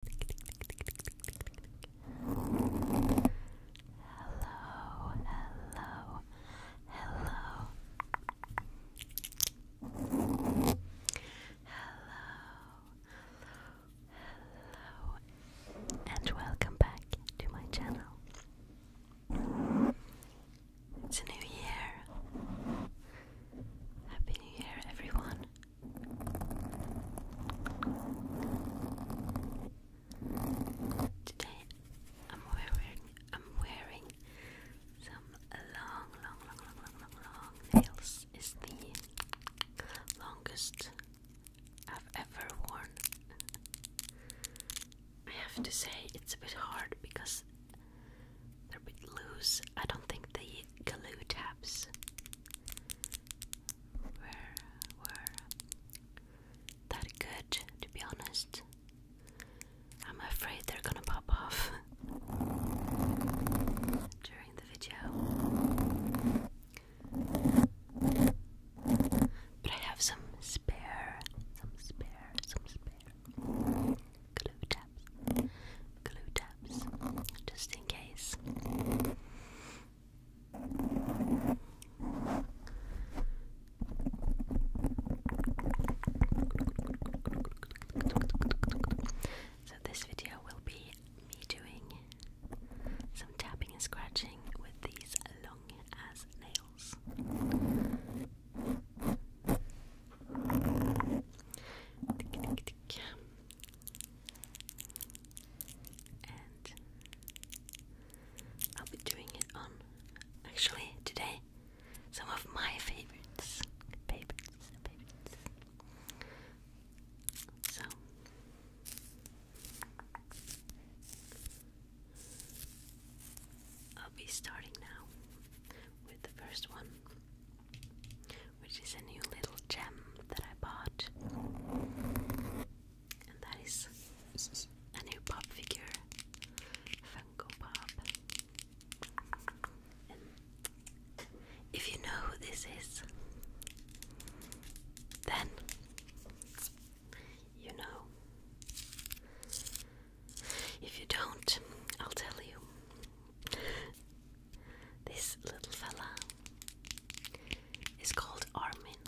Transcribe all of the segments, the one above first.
hello, hello, hello, and welcome back to my channel. It's a new year. Happy New Year, everyone. Today I'm wearing I'm wearing some long long long long long long nails is the longest I've ever worn. I have to say it's a bit hard because they're a bit loose. I don't think they glue tabs were were that good to be honest. I'm afraid they're gonna pop off during the video. But I have some spare, some spare, some spare glue tabs glue tabs just in case. So, this video will be me doing some tapping and scratching with these long as nails and I'll be doing it on actually today some of my favorites favorites favorites so I'll be starting now with the first one which is a new little gem that I bought. And that is a new pop figure, Funko Pop. if you know who this is, then you know. If you don't, I'll tell you. This little fella is called Armin.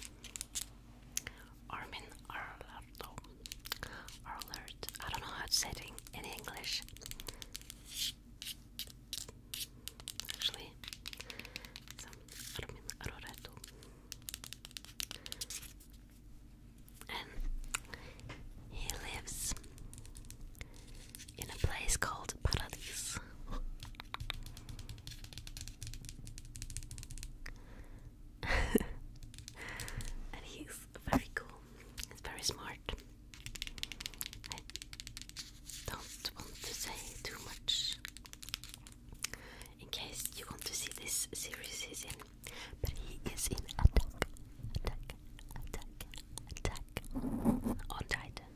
Armin Arlardo. Arlert. I don't know how to say in English. Actually, um, Armin Arlardo. And he lives in a place called Paradise. and he's very cool. very smart. I don't want to say too much in case you want to see this series he's But he is in attack, attack, attack, attack on Titan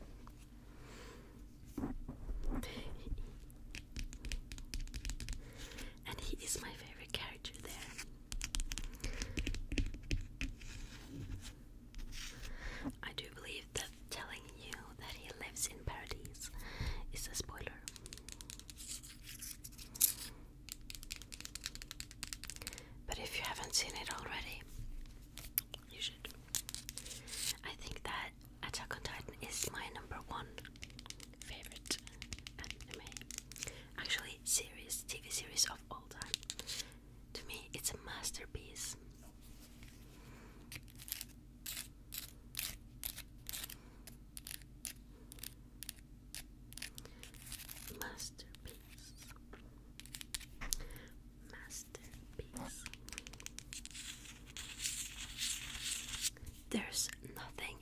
and he is my favorite character there. I do believe that telling you that he lives in paradise is a spoiler. But if you haven't seen it already, I think that Attack on Titan is my number one favorite anime. Actually, series, TV series of all time. To me, it's a masterpiece. Masterpiece masterpiece. There's nothing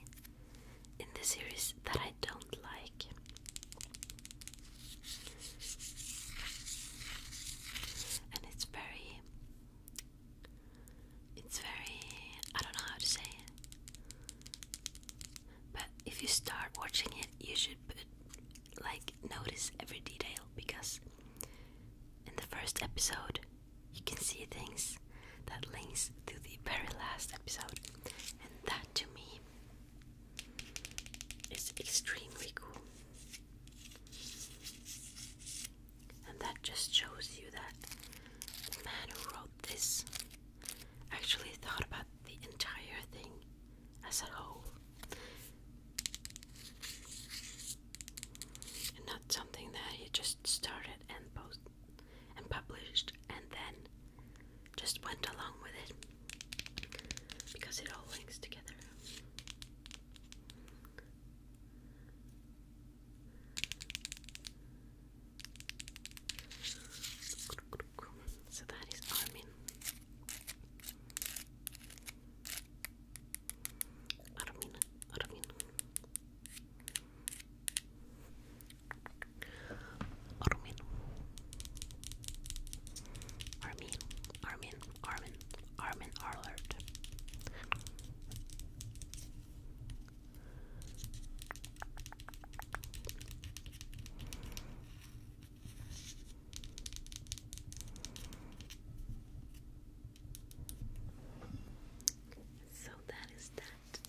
in the series that I don't like. And it's very it's very I don't know how to say But if you start watching it, you should like notice every detail because in the first episode you can see things that links to the very last episode and that to me is extremely cool and that just shows you that the man who wrote this actually thought about the entire thing as a whole and not something that he just started and post and published and then just went along with it because it all links together. So that is Armin. Armin, Armin. Armin. Armin, Armin, Armin, Armin Arlert. So that is that.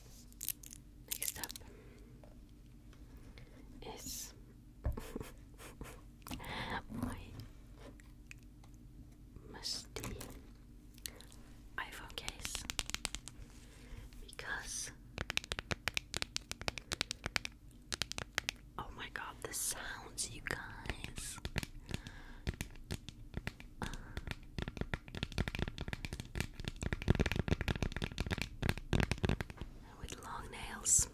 Next up is my musty iPhone case because Oh my god, the sounds, you guys. Uh, with long nails,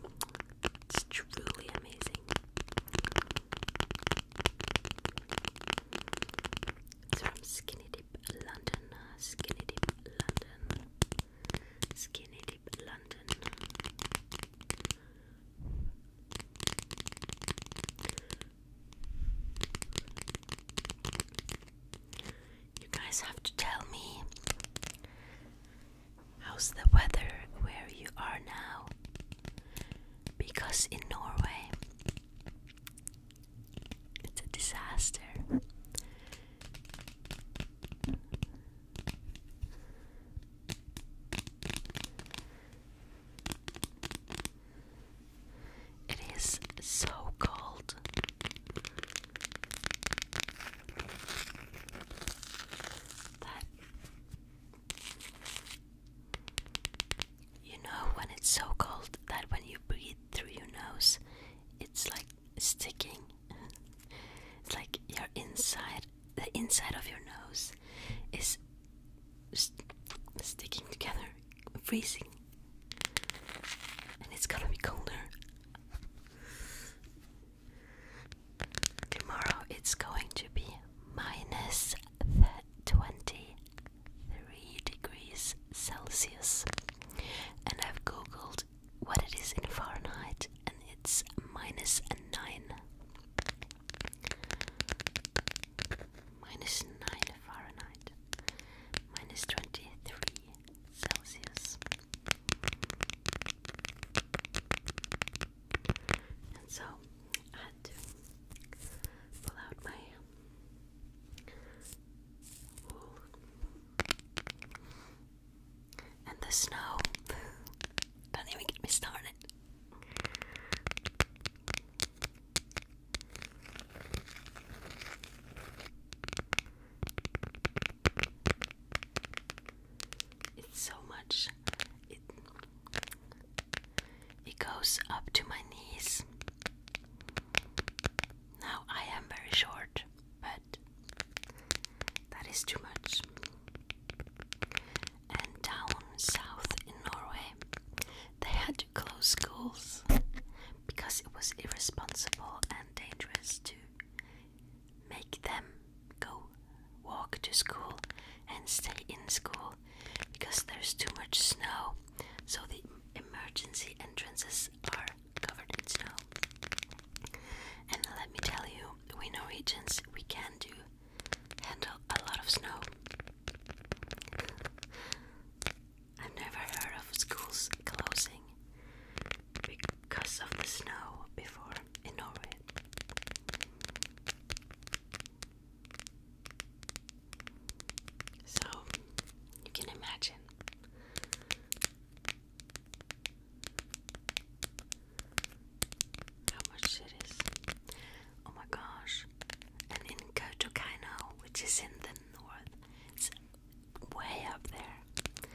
it's truly amazing. It's from Skinny Dip London, uh, Skinny Dip London, Skinny London. You guys have to tell me how's the weather where you are now because in Norway it's a disaster. It is so cold. That you know when it's so cold that when you breathe through your nose, it's like sticking. it's like your inside, the inside of your nose is sticking together, freezing. And it's gonna be colder. Tomorrow it's going to be minus 23 degrees Celsius. And I've googled what it is in Fahrenheit, and it's minus nine. Minus nine Fahrenheit, minus twenty three Celsius. And so I had to pull out my and the snow. Don't even get me started. It's so much. It it goes up to my knees. Now I am very short, but that is too much. And down south in Norway, they had to close schools because it was irresponsible and dangerous to make them go walk to school and stay in school because there's too much snow. So the emergency entrances are covered in snow. And let me tell you, we Norwegians, we can do handle a lot of snow. I've never heard of schools closing because of the snow before in Norway. So you can imagine how much it is. Oh my gosh. And in Kotokaino, which is in the north, it's way up there.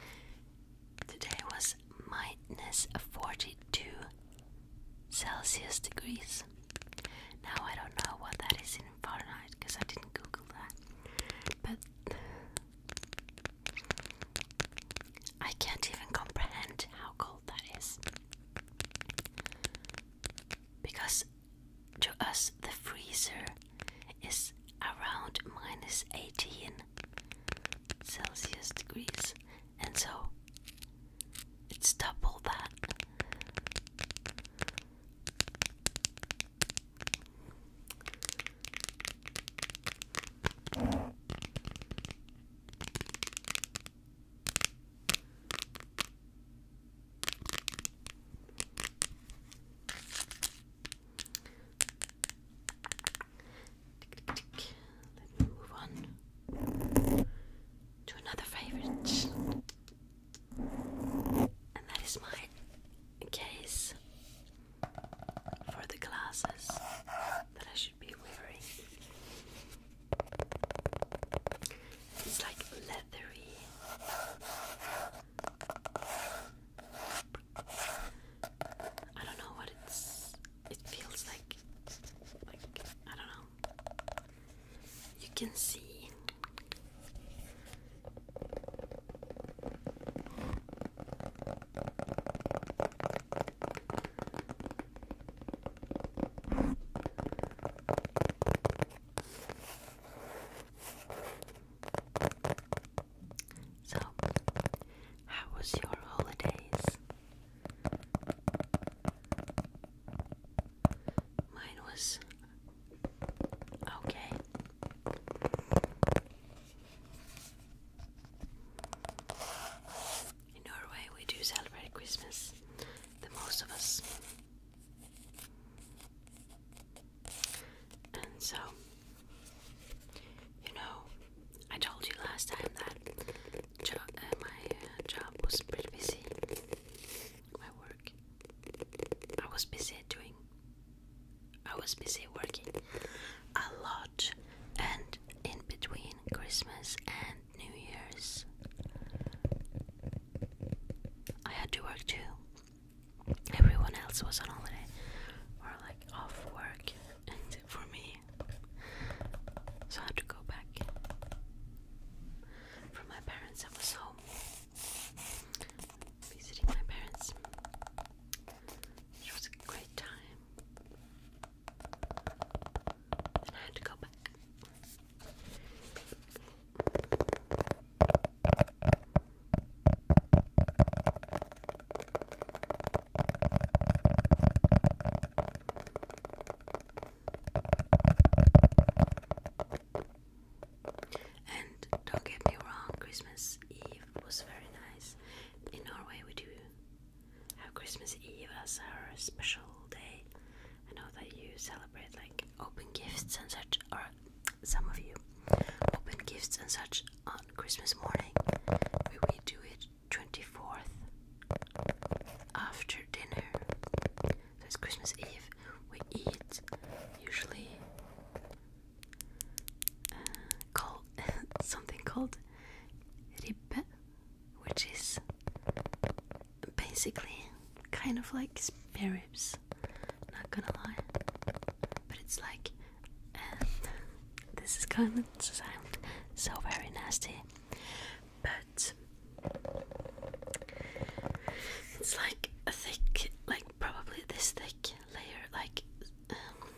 Today was minus 42 Celsius degrees. Now I don't know what that is in Fahrenheit because I didn't Google that. But I can't even comprehend how cold that is. Because to us, the freezer is around minus 18 Celsius degrees, and so it's double that. Let me move on to another favorite, and that is my case for the glasses that I should be wearing. It's like leathery. I don't know what it's. It feels like. Like I don't know. You can see. So, how was your holidays? Mine was okay. In Norway, we do celebrate Christmas, the most of us. And so, you know, I told you last time that uh, my uh, job was pretty busy. My work. I was busy doing I was busy working a lot and in between Christmas and New Year's I had to work too. Everyone else was on holiday or like off work and for me so I had to go back. From my parents I was home visiting my parents. It was a great time. And I had to go back. And don't get me wrong, Christmas Eve was very nice. Christmas. In Norway, we do have Christmas Eve as our special day. I know that you celebrate like open gifts and such, or some of you open gifts and such on Christmas morning. we do it 24th after dinner. So it's Christmas Eve. We eat usually uh, called something called ribbe, which is basically kind of like spare Not gonna lie, but it's like uh, this is gonna sound so very nasty, but it's like a thick, like probably this thick layer, like um,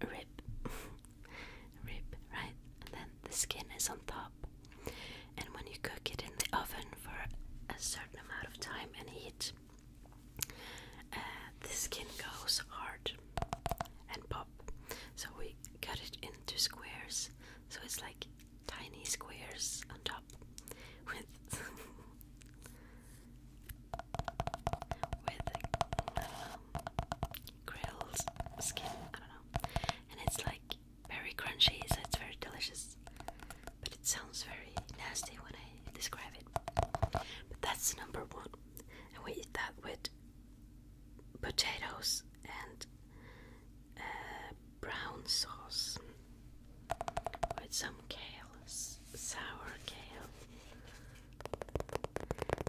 rib, rib, right? And then the skin is on top. And when you cook it in the oven for a certain amount of time and heat, uh, the skin goes hard and pop. So we cut it into squares. So it's like tiny squares on top with with um, grilled skin. I don't know, and it's like very crunchy, it's very delicious. But it sounds very nasty when I describe it. But that's number one, and we eat that with potatoes and uh, brown sauce with some kale sour kale.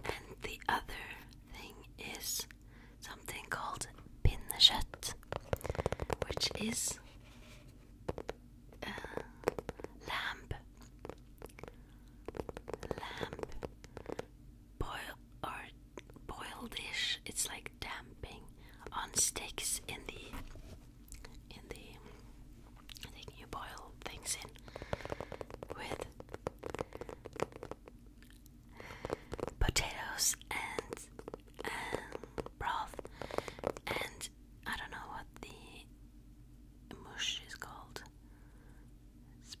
And the other thing is something called pinnekjøtt, which is uh, lamb. Lamb boil or boiled dish. It's like damping on sticks in the in the thing you boil things in with potatoes and and um, broth and I don't know what the mush is called. It's,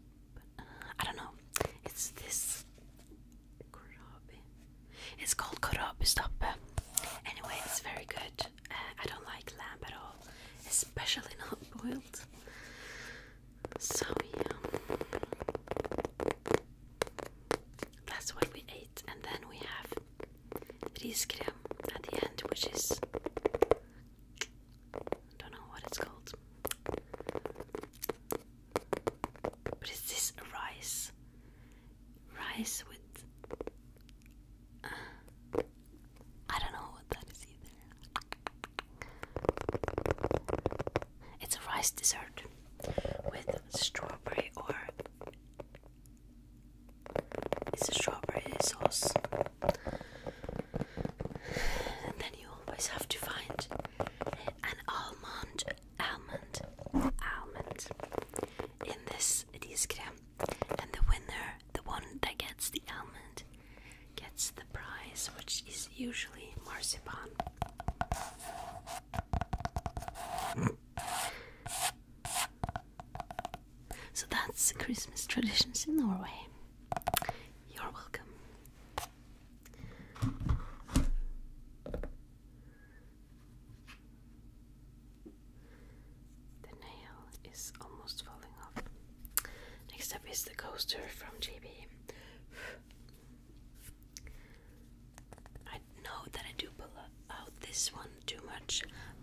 I don't know. It's this korabi. It's called korabi stoppe. Anyway, it's very good. Uh, I don't like lamb at all, especially not boiled. So, yeah, that's what we ate, and then we have riskrim at the end, which is I don't know what it's called, but it's this rice, rice with. Uh, I don't know what that is either. It's a rice dessert with strawberry or it's a strawberry sauce. And then you always have to find an almond, almond, almond in this it is a and the winner, the one that gets the almond, gets the prize, which is usually marzipan. So that's Christmas traditions in Norway. You're welcome. The nail is almost falling off. Next up is the coaster from JB. I know that I do pull out this one too much,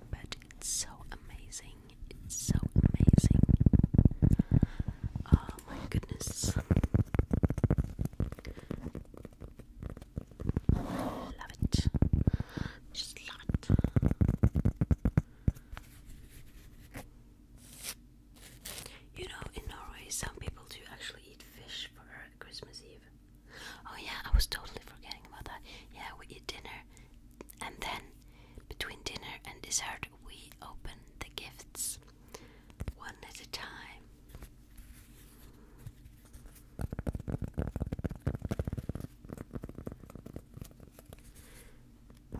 but it's so amazing. It's so amazing. Oh my goodness. Love it. Just a lot. You know, in Norway, some people do actually eat fish for Christmas Eve. Oh, yeah, I was totally forgetting about that. Yeah, we eat dinner, and then between dinner and dessert, we open the gifts one at a time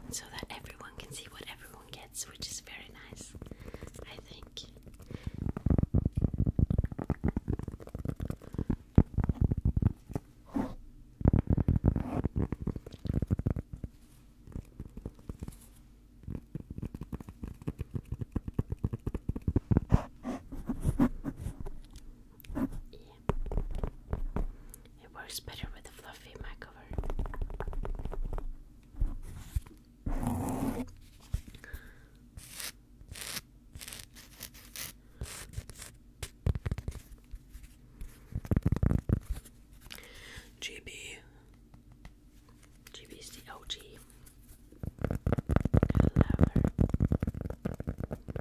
so that everyone can see what everyone gets, which is very nice, I think. Yeah. It works better with the fluffy mat cover. GB.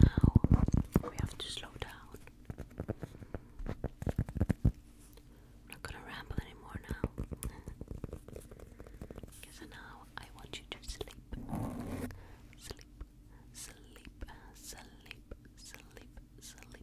now we have to slow down. not gonna ramble anymore now. Because now I want you to sleep. Sleep, sleep, sleep, sleep, sleep, sleep.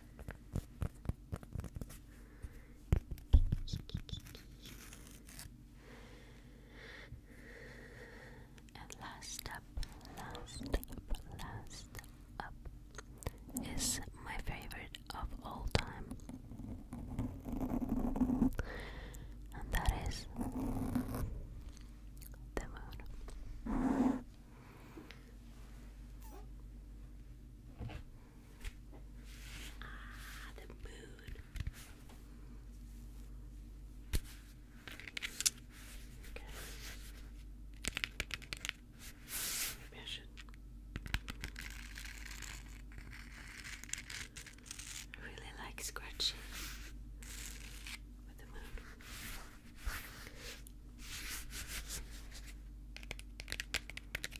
And last up, last up, last up is my favorite of all time, and that is the moon. Ah, the moon. Okay. Maybe I I really like scratching with the moon.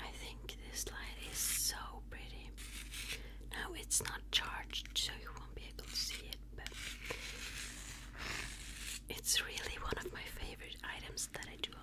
I think this light is so pretty. Now it's not charged, so you won't be able to see it, but it's really one of my favorite items that I do own.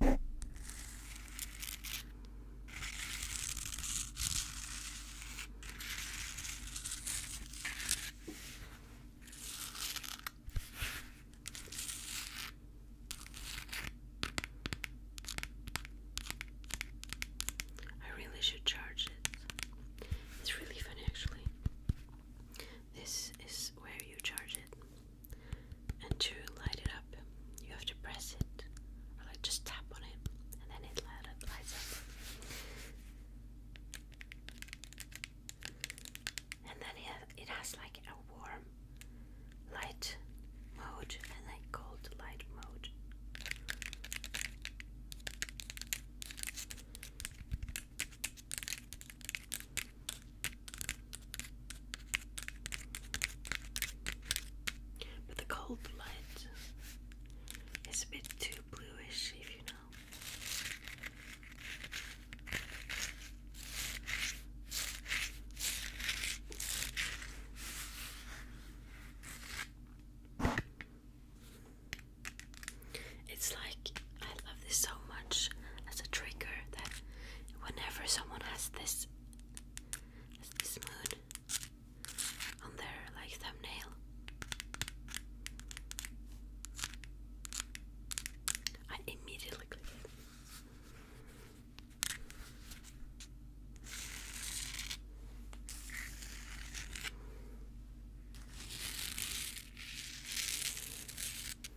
I really should charge it. It's really funny actually. This is where you charge it and to light it up, you have to press it or like just tap on it, and then it lights up. And then it, has like a warm light mode and a cold light mode. But the cold blood is a bit too bluish, if you know. It's like I love this so much as a trigger that whenever someone has this is this moon on their like thumbnail. I immediately click it.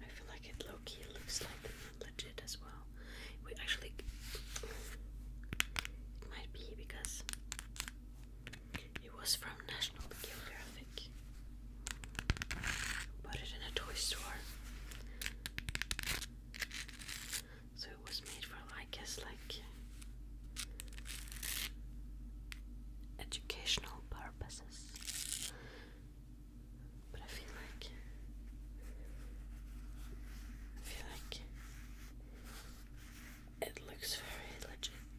I feel like it low looks like legit as well. We actually it might be because it was from National Geographic. Bought it in a toy store. So it was made for, I guess, like educational purposes. But I feel like I feel like it looks very legit.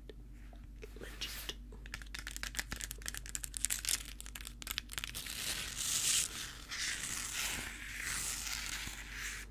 Legit.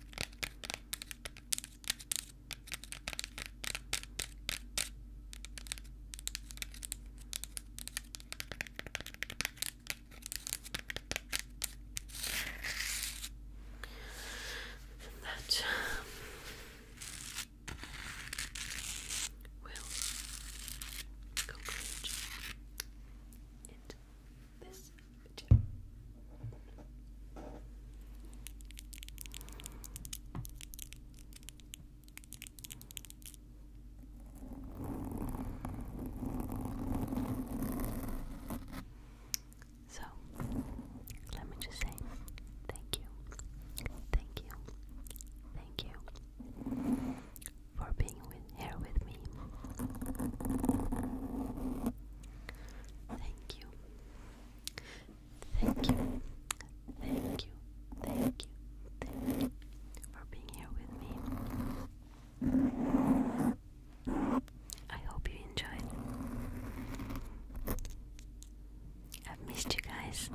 And that um, will conclude it. So, let me just say thank you, thank you, thank you for being with here with me. Thank you. Thank you. Thank you. Thank you. for being here with me. I hope you enjoyed. I've missed you guys.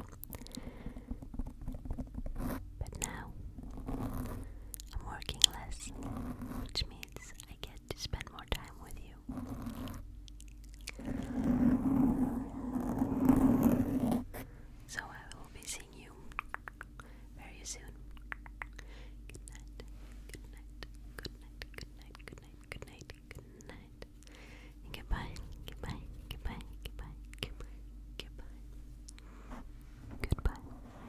But now I'm working less, which means I get to spend more time with you. So I will be seeing you very soon. Good night. Good night. Good night. Good night. Good night. Good night. Good night. goodbye. Goodbye. Goodbye. Goodbye. Goodbye. Goodbye. Goodbye.